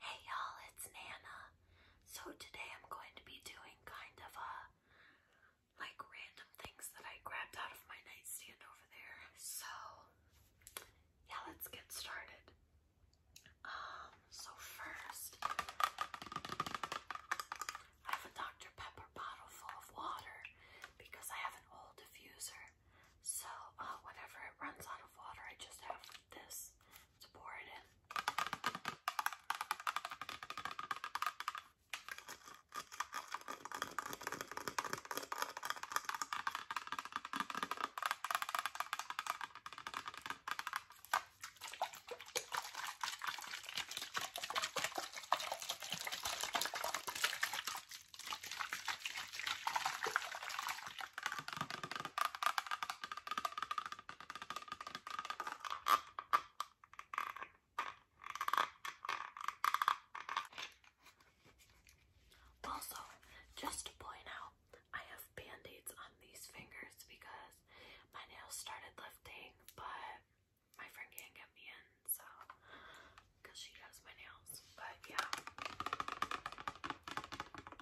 Hey y'all, it's Nana. So today I'm going to be doing kind of a like random things that I grabbed out of my nightstand over there. So yeah, let's get started. Um, so first I have a Dr. Pepper bottle full of water because I have an old diffuser. So uh, whenever it runs out of water, I just have this to pour it in. Also, just to point out, I have band-aids on these fingers because my nails started lifting, but my friend can't get me in, so because she does my nails. But yeah.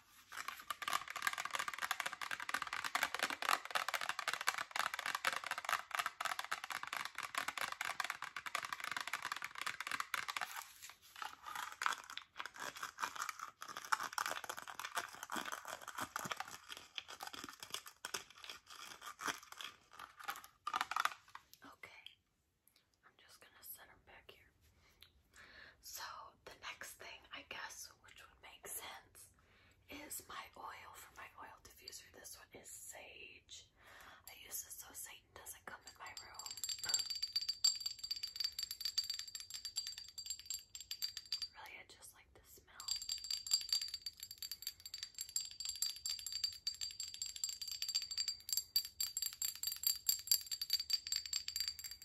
Okay, I'm just gonna set them back here. So the next thing, I guess, which would make sense, is my oil for my oil diffuser. This one is Sage. I use this so Satan doesn't come in my room. really, I just like the smell.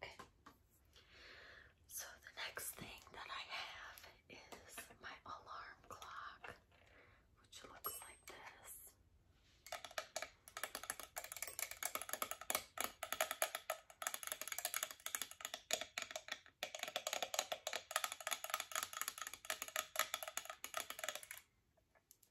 Okay. So the next thing that I have is my alarm clock, which looks like this.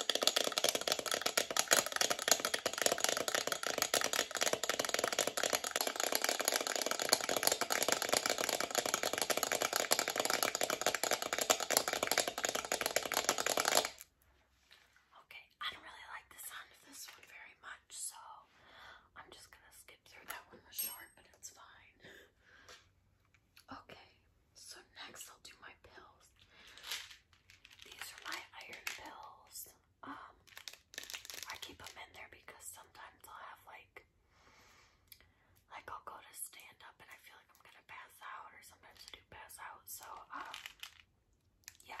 Okay, I don't really like the sound of this one very much, so I'm just gonna skip through that one, the short, but it's fine. Okay, so next I'll do my pills. These are my iron pills. Um, I keep them in there because sometimes I'll have like, like I'll go to stand up and I feel like I'm gonna pass out, or sometimes I do pass out. So um, yeah.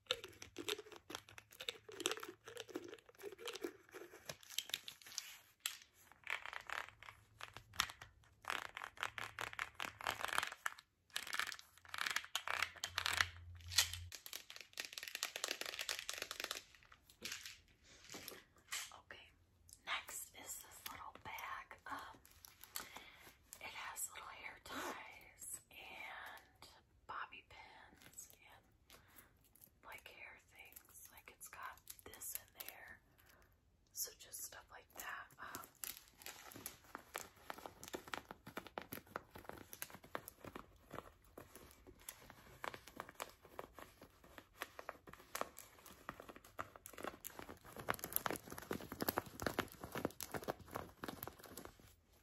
Okay, next is this little bag. Um, it has little hair ties and bobby pins and like hair things. Like it's got this in there. So just stuff like that. Um,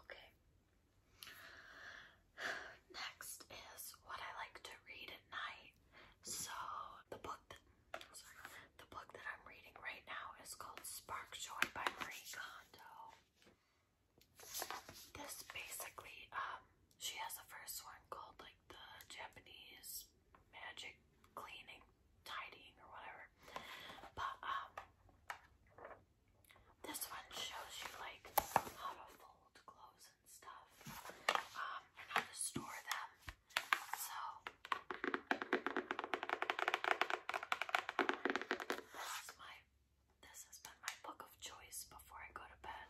Okay. Next is what I like to read at night. So, the book that the book that I'm reading right now is called Spark Joy by Marie Kondo. This basically, um, she has the first one called like the Japanese magic cleaning, tidying, or whatever. But um, this one shows you like how to fold clothes and stuff. Um, how to store them. So this is my this has been my book of choice before I go to bed.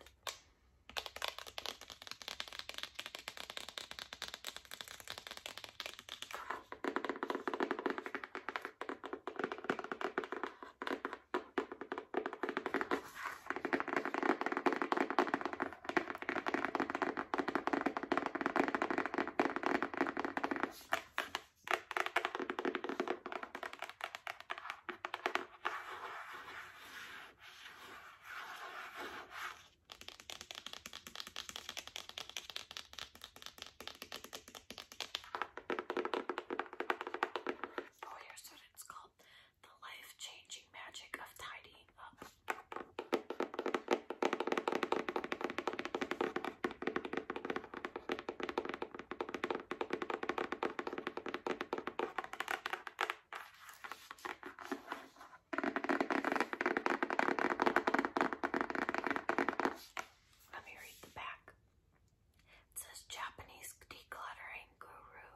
Oh, here's what it's called the life changing magic of tidying up. Let me read the back. It says Japanese decluttering guru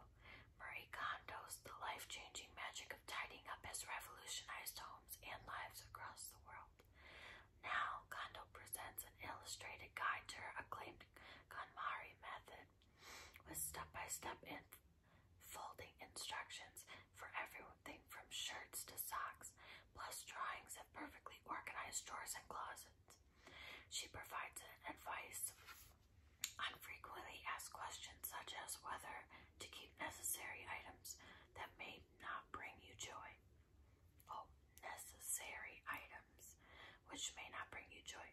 Marie Kondo's The Life Changing Magic of Tidying Up has revolutionized homes and lives across the world. Now, Kondo presents an illustrated guide to her acclaimed KonMari method with step by step and folding instructions for everything from shirts to socks, plus drawings of perfectly organized drawers and closets. She provides advice on frequently asked questions such as whether to keep necessary items that may not bring you joy. Oh, necessary items which may not bring you joy.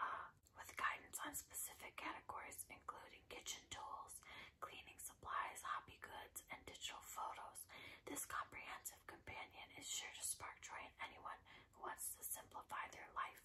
Uh, with guidance on specific categories including kitchen tools, cleaning supplies, hobby goods, and digital photos, this comprehensive companion is sure to spark joy in anyone who wants to simplify their life.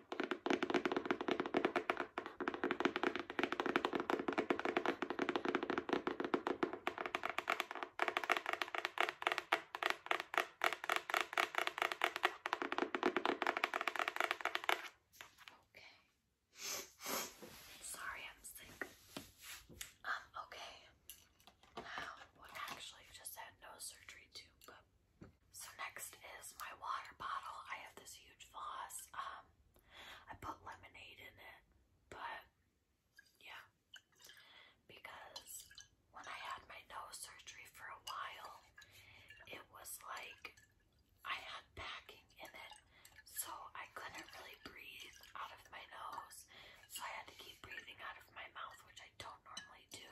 Okay. Sorry, I'm sick. Um, okay. Now, well, actually, just had no surgery too, so next is my water bottle. I have this huge floss. Um, I put lemonade in it, but yeah, because when I had my nose surgery for a while, it was like I had packing in it, so I couldn't really breathe out of my nose. So I had to keep breathing out of my mouth, which I don't normally do,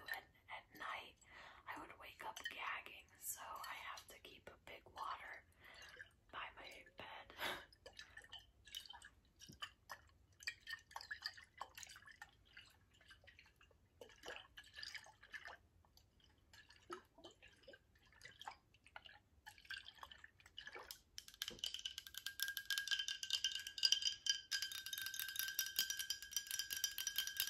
at night, I would wake up gagging, so I have to keep a big water by my bed.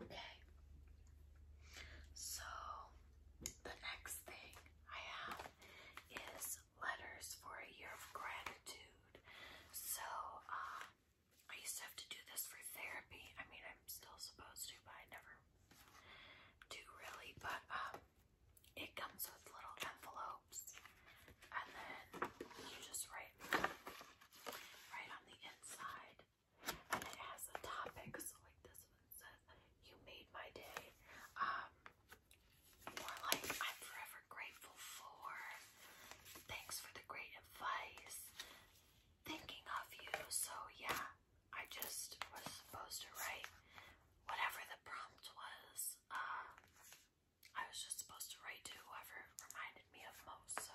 Okay. So the next thing I have is letters for a year of gratitude. So um, I used to have to do this for therapy. I mean, I'm still supposed to, but I never do really. But um, it comes with little envelopes and then you just write right on the inside, and it has a topic. like this "You made my day," um, or like "I'm forever grateful for," "Thanks for the great advice," "Thinking of you." So yeah, I just was supposed to write whatever the prompt was. Uh, I was just supposed to write to whoever reminded me of most, so.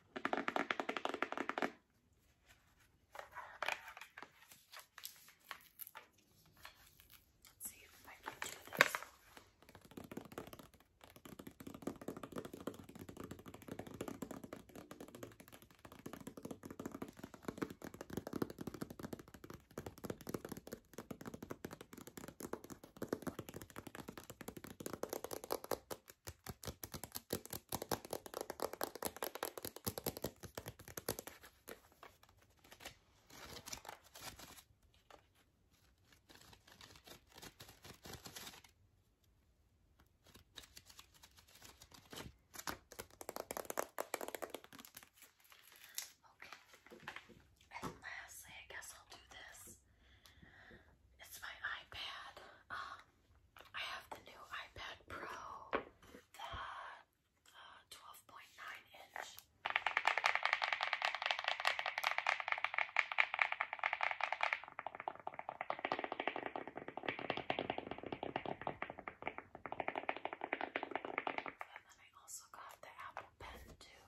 Let's see if I can do this. Okay. Okay. And lastly, I guess I'll do this it's my iPad. Um, I have the new iPad Pro, the 12.9 uh, inch. And then I also got the Apple Pen too.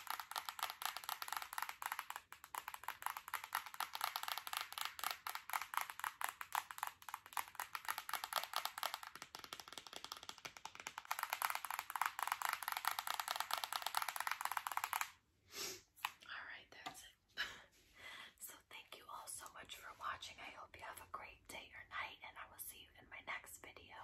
All right, that's it. so thank you all so much for watching. I hope you have a great day or night and I will see you in my next video.